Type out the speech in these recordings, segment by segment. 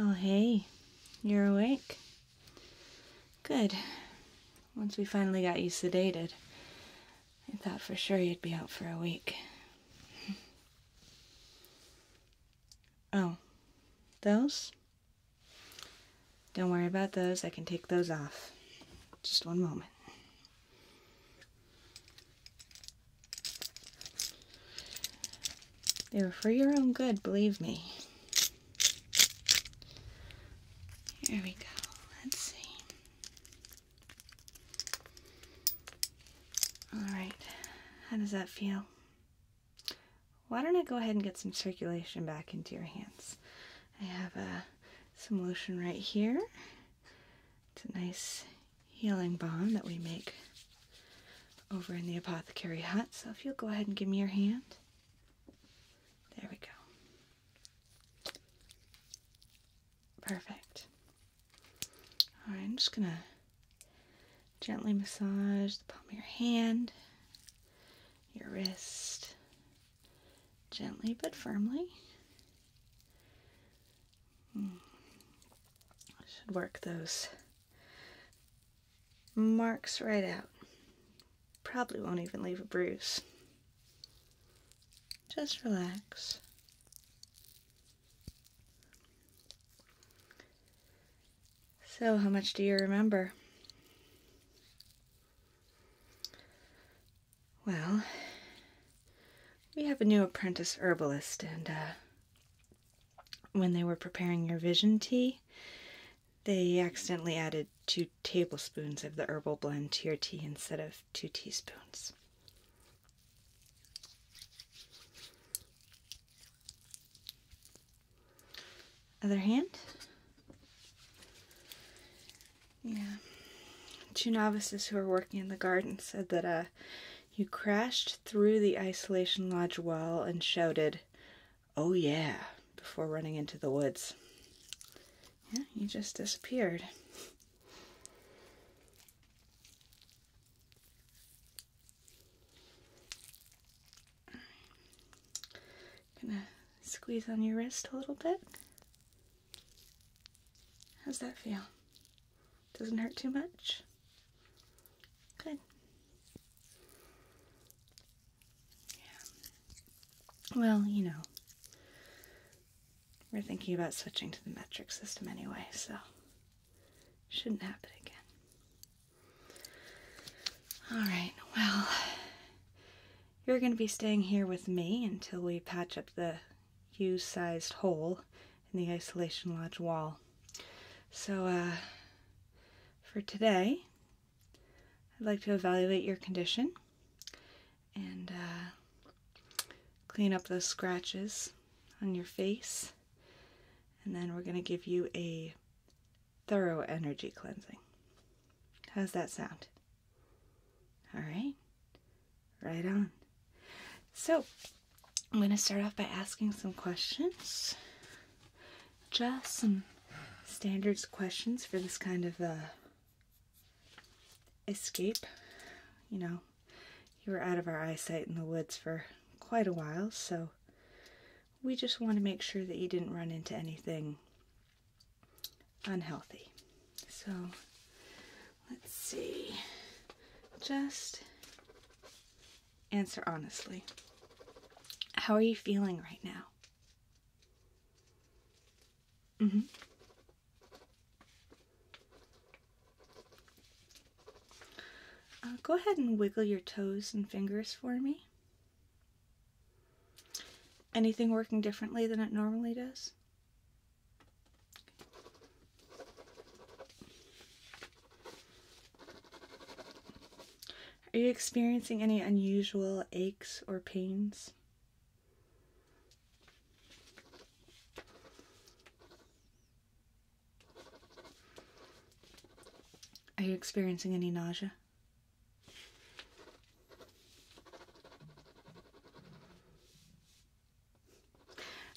Oh, hey, you're awake. Good. Once we finally got you sedated, I thought for sure you'd be out for a week. Oh, those? Don't worry about those. I can take those off. Just one moment. They were for your own good, believe me. Here we go. Let's see. Alright, how does that feel? Why don't I go ahead and get some circulation back into your hands? I have uh, some lotion right here. It's a nice healing balm that we make over in the apothecary hut. So if you'll go ahead and give me your hand. There we go. Perfect. Alright, I'm just gonna gently massage the palm of your hand, your wrist, gently but firmly. Hmm. Should work those Marks right out. Probably won't even leave a bruise. Just relax. So, how much do you remember? Well, we have a new apprentice herbalist, and uh, when they were preparing your vision tea, they accidentally added two tablespoons of the herbal blend to your tea instead of two teaspoons. Other hand. Yeah. Two novices who were working in the garden said that uh, you crashed through the isolation lodge wall and shouted, Oh yeah, before running into the woods. Yeah, he just disappeared. Gonna squeeze on your wrist a little bit. How's that feel? Doesn't hurt too much? Good. Yeah. Well, you know, we're thinking about switching to the metric system anyway, so shouldn't happen again. All right, well, you're going to be staying here with me until we patch up the U sized hole in the isolation lodge wall. So, uh, for today, I'd like to evaluate your condition and uh, clean up those scratches on your face. And then we're going to give you a thorough energy cleansing. How's that sound? All right. Right on. So, I'm going to start off by asking some questions just some standards questions for this kind of uh, escape. You know, you were out of our eyesight in the woods for quite a while, so we just want to make sure that you didn't run into anything unhealthy. So let's see. Just answer honestly. How are you feeling right now? Mm-hmm. Uh, go ahead and wiggle your toes and fingers for me. Anything working differently than it normally does? Are you experiencing any unusual aches or pains? Are you experiencing any nausea?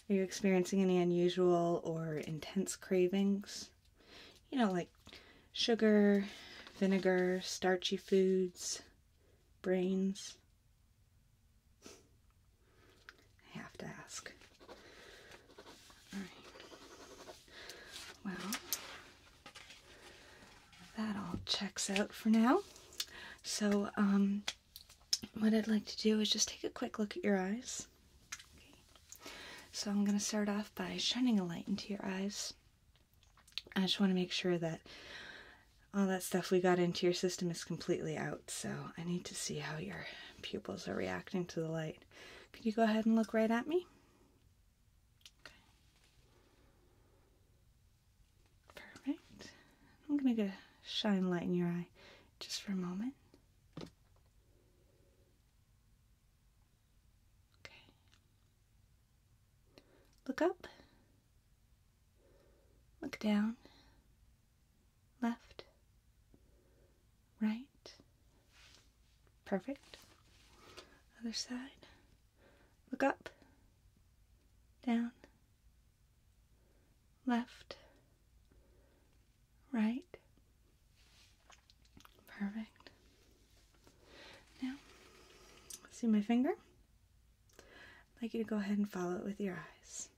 Are you experiencing any unusual or intense cravings? you know, like sugar, vinegar, starchy foods, brains. I have to ask. Alright. Well, that all checks out for now. So, um, what I'd like to do is just take a quick look at your eyes. So I'm going to start off by shining a light into your eyes. I just want to make sure that all that stuff we got into your system is completely out. So I need to see how your pupils are reacting to the light. Could you go ahead and look right at me? Perfect. I'm going to shine light in your eye just for a moment. Okay. Look up. Look down. Left. Right. Perfect. Other side. Look up. Down. Left. Right. Perfect. Now, see my finger? I'd like you to go ahead and follow it with your eyes.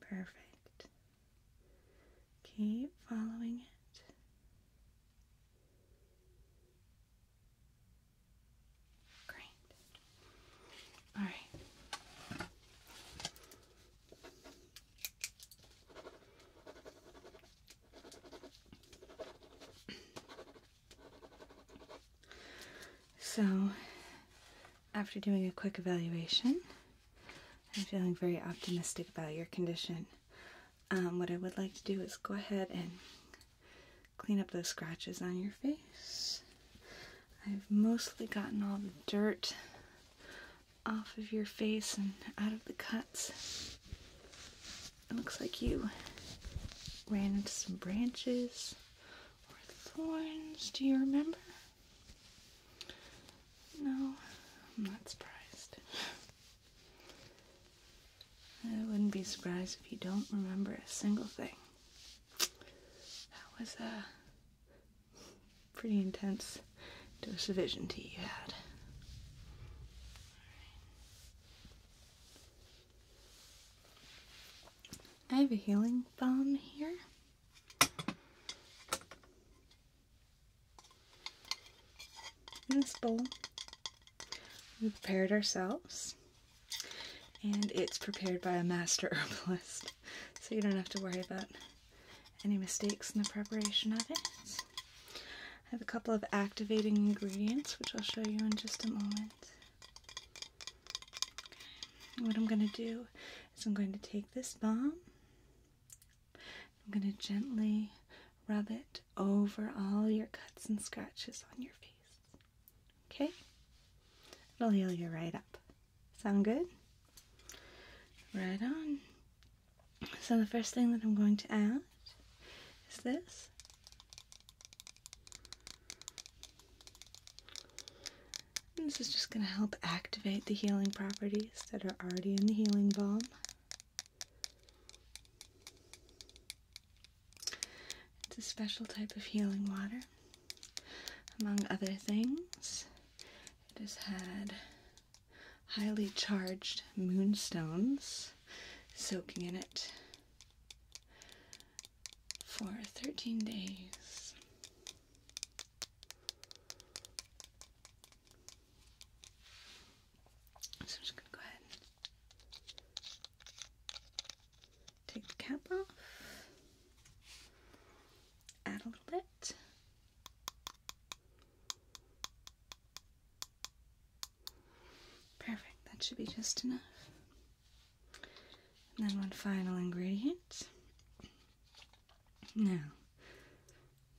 Perfect. Keep following it. Great. All right. So, after doing a quick evaluation, I'm feeling very optimistic about your condition. Um, what I would like to do is go ahead and clean up those scratches on your face. I've mostly gotten all the dirt off of your face and out of the cuts. It looks like you ran into some branches or thorns. Do you remember? No, I'm not surprised. I wouldn't be surprised if you don't remember a single thing. That was a pretty intense dose of vision tea you had. I have a healing balm here. In this bowl, we prepared ourselves and it's prepared by a master herbalist, so you don't have to worry about any mistakes in the preparation of it. I have a couple of activating ingredients, which I'll show you in just a moment. What I'm going to do is I'm going to take this balm, I'm going to gently rub it over all your cuts and scratches on your face. Okay? It'll heal you right up. Sound good? Right on. So the first thing that I'm going to add is this. this is just going to help activate the healing properties that are already in the healing balm. It's a special type of healing water. Among other things, it has had highly charged moonstones soaking in it for 13 days. So I'm just going to go ahead Take the cap off. Add a little bit. Perfect, that should be just enough. And then one final ingredient. Now,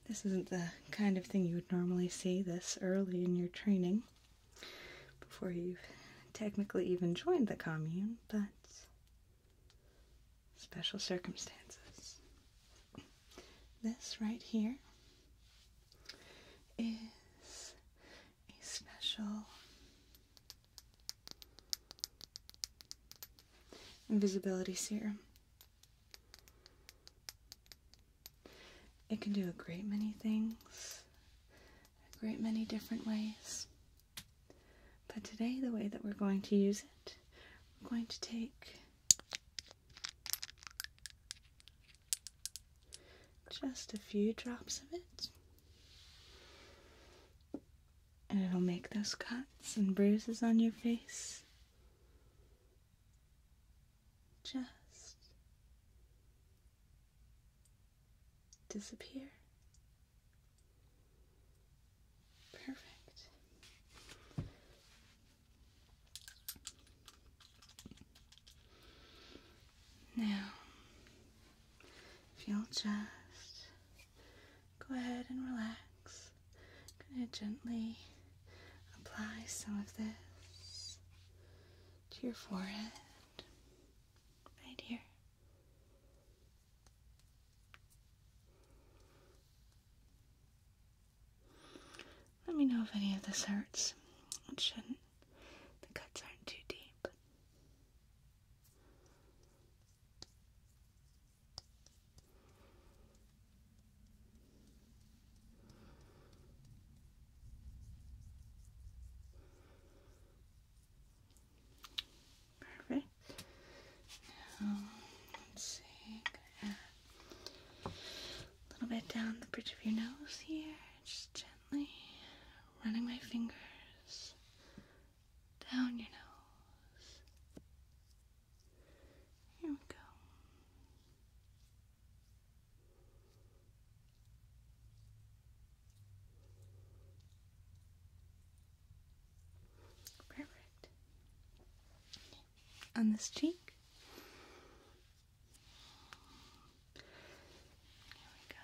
this isn't the kind of thing you would normally see this early in your training, before you've technically even joined the commune, but special circumstances. This right here is a special invisibility serum. It can do a great many things a great many different ways. But today, the way that we're going to use it, we're going to take just a few drops of it, and it'll make those cuts and bruises on your face just disappear. Perfect. Now, if you'll just go ahead and relax, I'm going to gently apply some of this to your forehead right here. Let me know if any of this hurts. It shouldn't. The cuts aren't too deep. Perfect. Now, let's see. a little bit down the bridge of your nose here, just gently running my fingers down your nose. Here we go. Perfect. On this cheek. Here we go.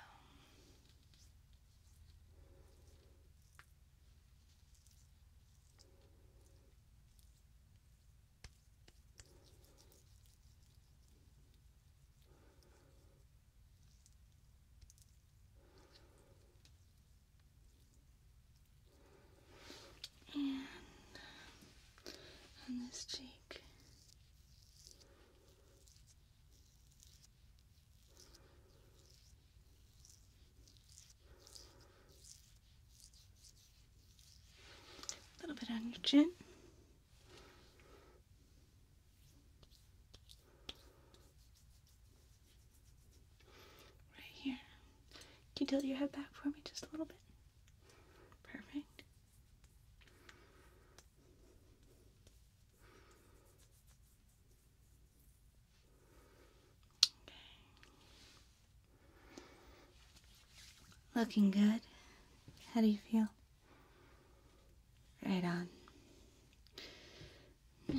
And on this cheek. A little bit on your chin. Right here. Can you tilt your head back for me just a little bit? Perfect. Okay. Looking good. How do you feel? Right on. I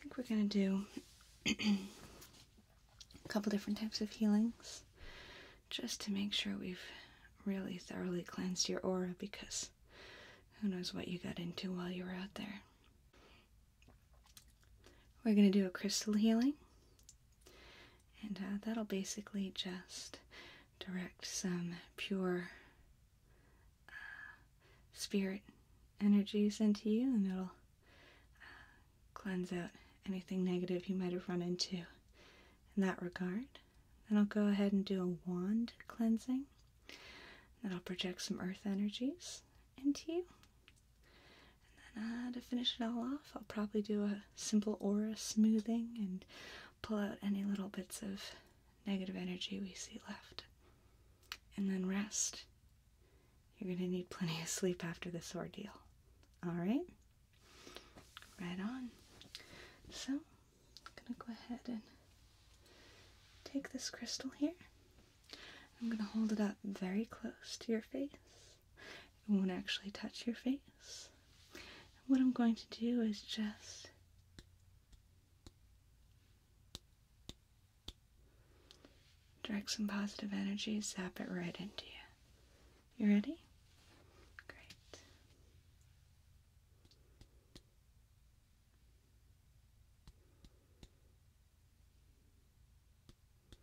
think we're going to do a couple different types of healings just to make sure we've really thoroughly cleansed your aura because who knows what you got into while you were out there. We're going to do a crystal healing. And uh, that'll basically just direct some pure uh, spirit energies into you, and it'll uh, cleanse out anything negative you might have run into in that regard. Then I'll go ahead and do a wand cleansing. and I'll project some earth energies into you. Uh, to finish it all off, I'll probably do a simple aura smoothing and pull out any little bits of negative energy we see left. And then rest. You're going to need plenty of sleep after this ordeal. Alright? Right on. So, I'm going to go ahead and take this crystal here. I'm going to hold it up very close to your face it won't actually touch your face. what I'm going to do is just direct some positive energy, zap it right into you. You ready? Great.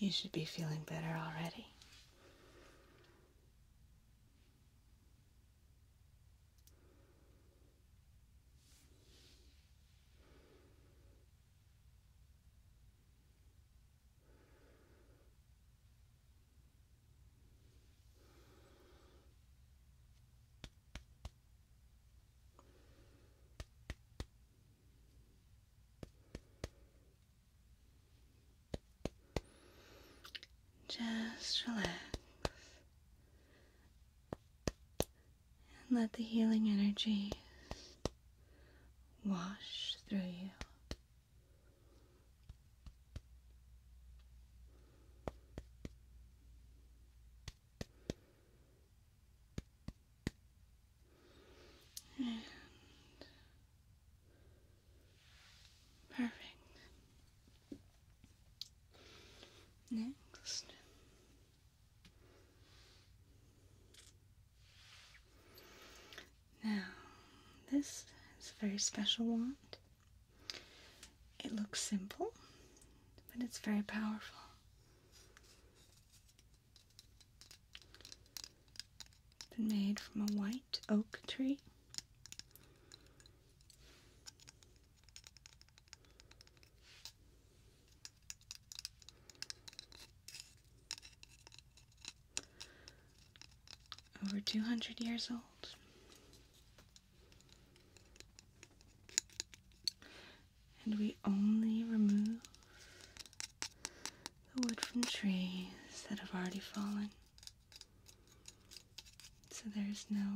You should be feeling better already. Just relax and let the healing energy wash through you perfect. Next. Now, this is a very special wand. It looks simple, but it's very powerful. It's been made from a white oak tree. Over 200 years old. And we only remove the wood from trees that have already fallen. So there's no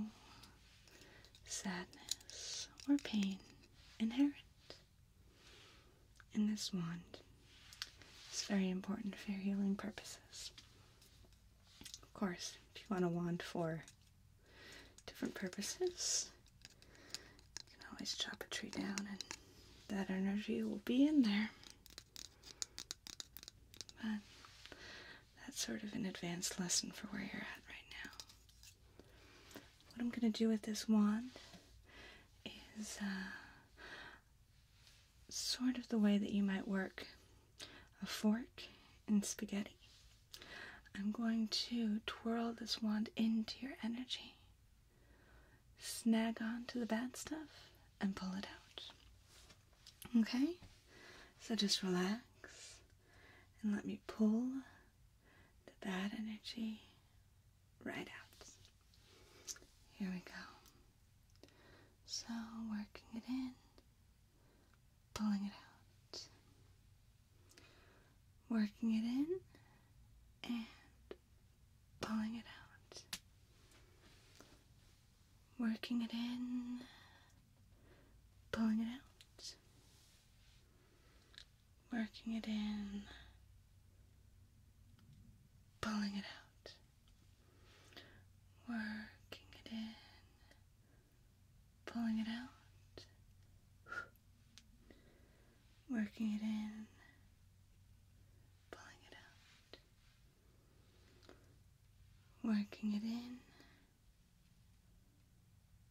sadness or pain inherent in this wand. It's very important for healing purposes. Of course, if you want a wand for different purposes, you can always chop a tree down and that energy will be in there. But that's sort of an advanced lesson for where you're at right now. What I'm going to do with this wand is uh, sort of the way that you might work a fork and spaghetti. I'm going to twirl this wand into your energy, snag onto the bad stuff, and pull it out. Okay? So just relax and let me pull the bad energy right out. Here we go. So working it in pulling it out, working it in, and pulling it out, working it in, pulling it out, working it in, pulling it out, working it in pulling it out, working it in, pulling it out, working it in,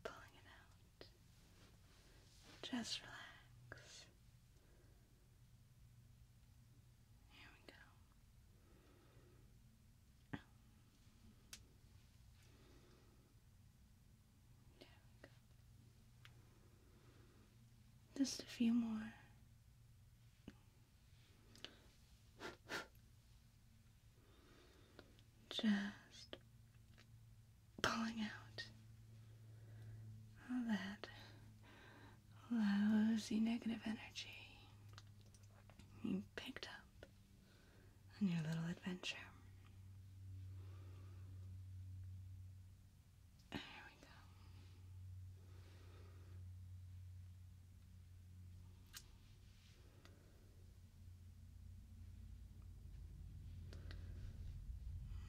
pulling it out. Just relax. Here we go. Just a few more. Just pulling out all that lousy negative energy you picked up on your little adventure. There we go.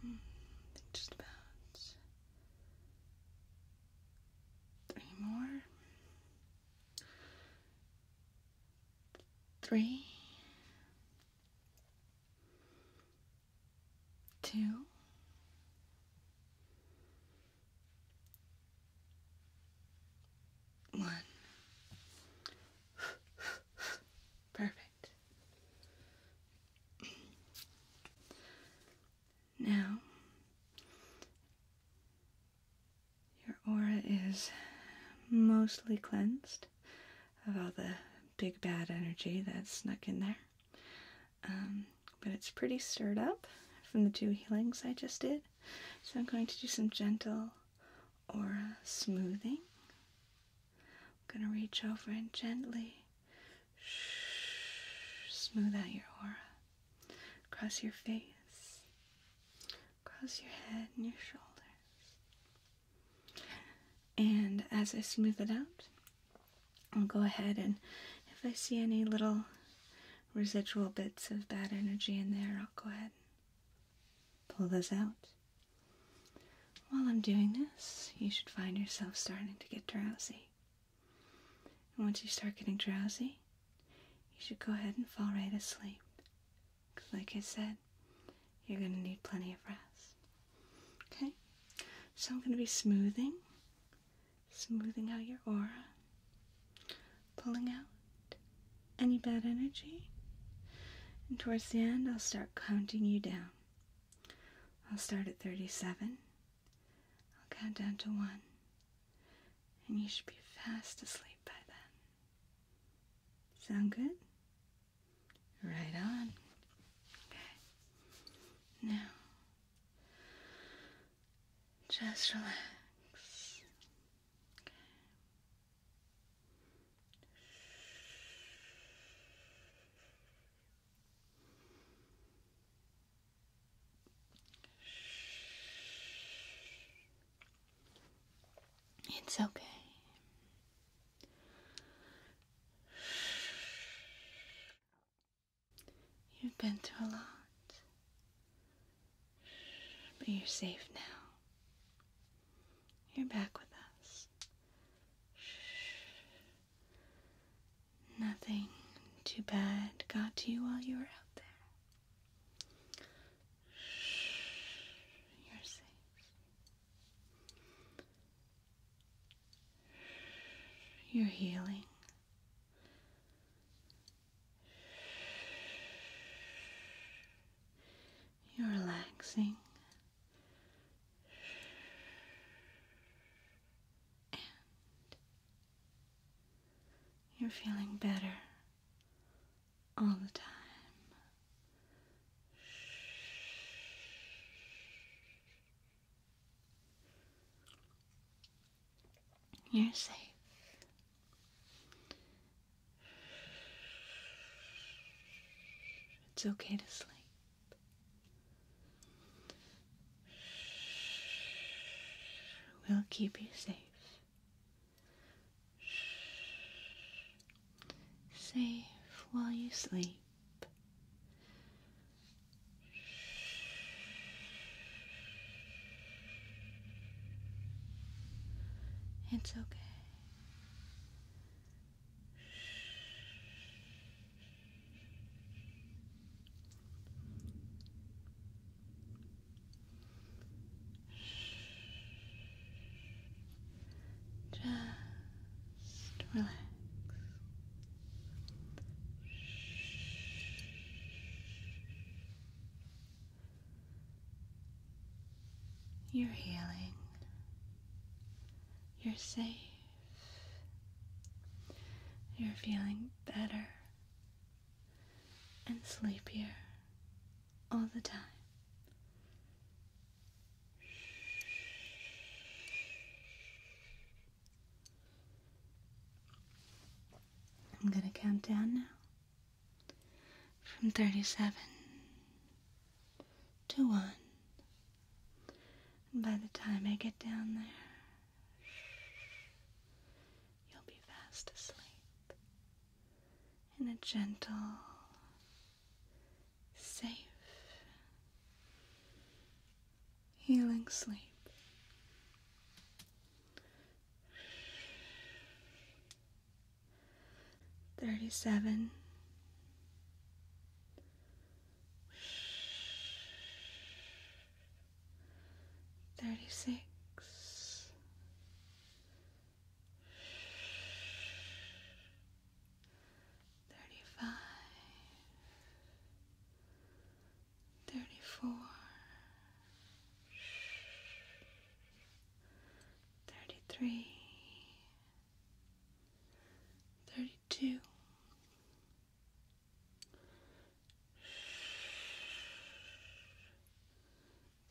Hmm, just about three more three, two, one. Perfect. Now, your aura is mostly cleansed of all the big bad energy that's snuck in there. Um, but it's pretty stirred up from the two healings I just did. So I'm going to do some gentle aura smoothing. I'm going to reach over and gently smooth out your aura across your face, Cross your head and your shoulders. And as I smooth it out, I'll go ahead and if I see any little residual bits of bad energy in there, I'll go ahead and pull those out. While I'm doing this, you should find yourself starting to get drowsy. And once you start getting drowsy, you should go ahead and fall right asleep. like I said, you're going to need plenty of rest. Okay? So, I'm going to be smoothing, smoothing out your aura, pulling out any bad energy. And towards the end, I'll start counting you down. I'll start at 37. I'll count down to 1 and you should be fast asleep by then. Sound good? Right on. Okay. Now, just relax. Okay. It's okay. You've been through a lot, but you're safe now. You're back with us. Nothing too bad got to you while you were out there. You're safe. You're healing. You're relaxing. you're feeling better all the time. You're safe. It's okay to sleep. We'll keep you safe. Safe while you sleep. It's okay. Just relax. You're healing. You're safe. You're feeling better and sleepier all the time. I'm going to count down now from 37 to 1. And by the time I get down there, you'll be fast asleep in a gentle, safe, healing sleep. Thirty seven. Thirty six, Thirty-five, thirty-four, thirty-three, thirty-two. 31 32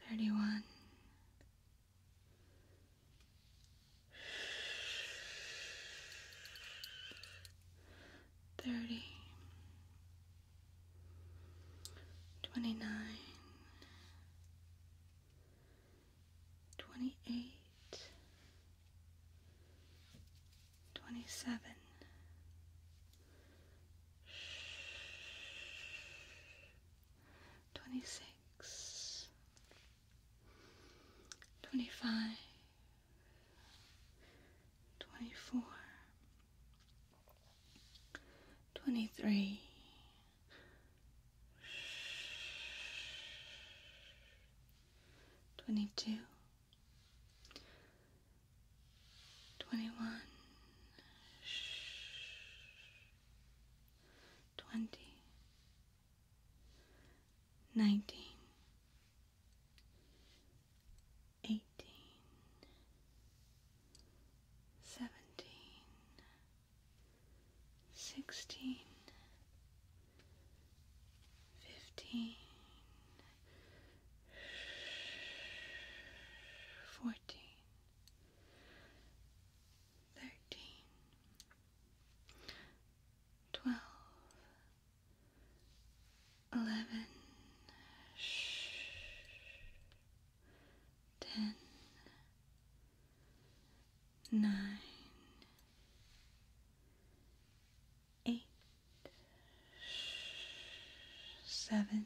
31 29 28 27 26 25 24 23 22 Twenty-one. Nineteen. Eighteen. Seventeen. Sixteen. twenty-one, twenty, nineteen, eighteen, seventeen, sixteen, fifteen. Fourteen, thirteen, twelve, eleven, shh, ten, nine, eight, shh, seven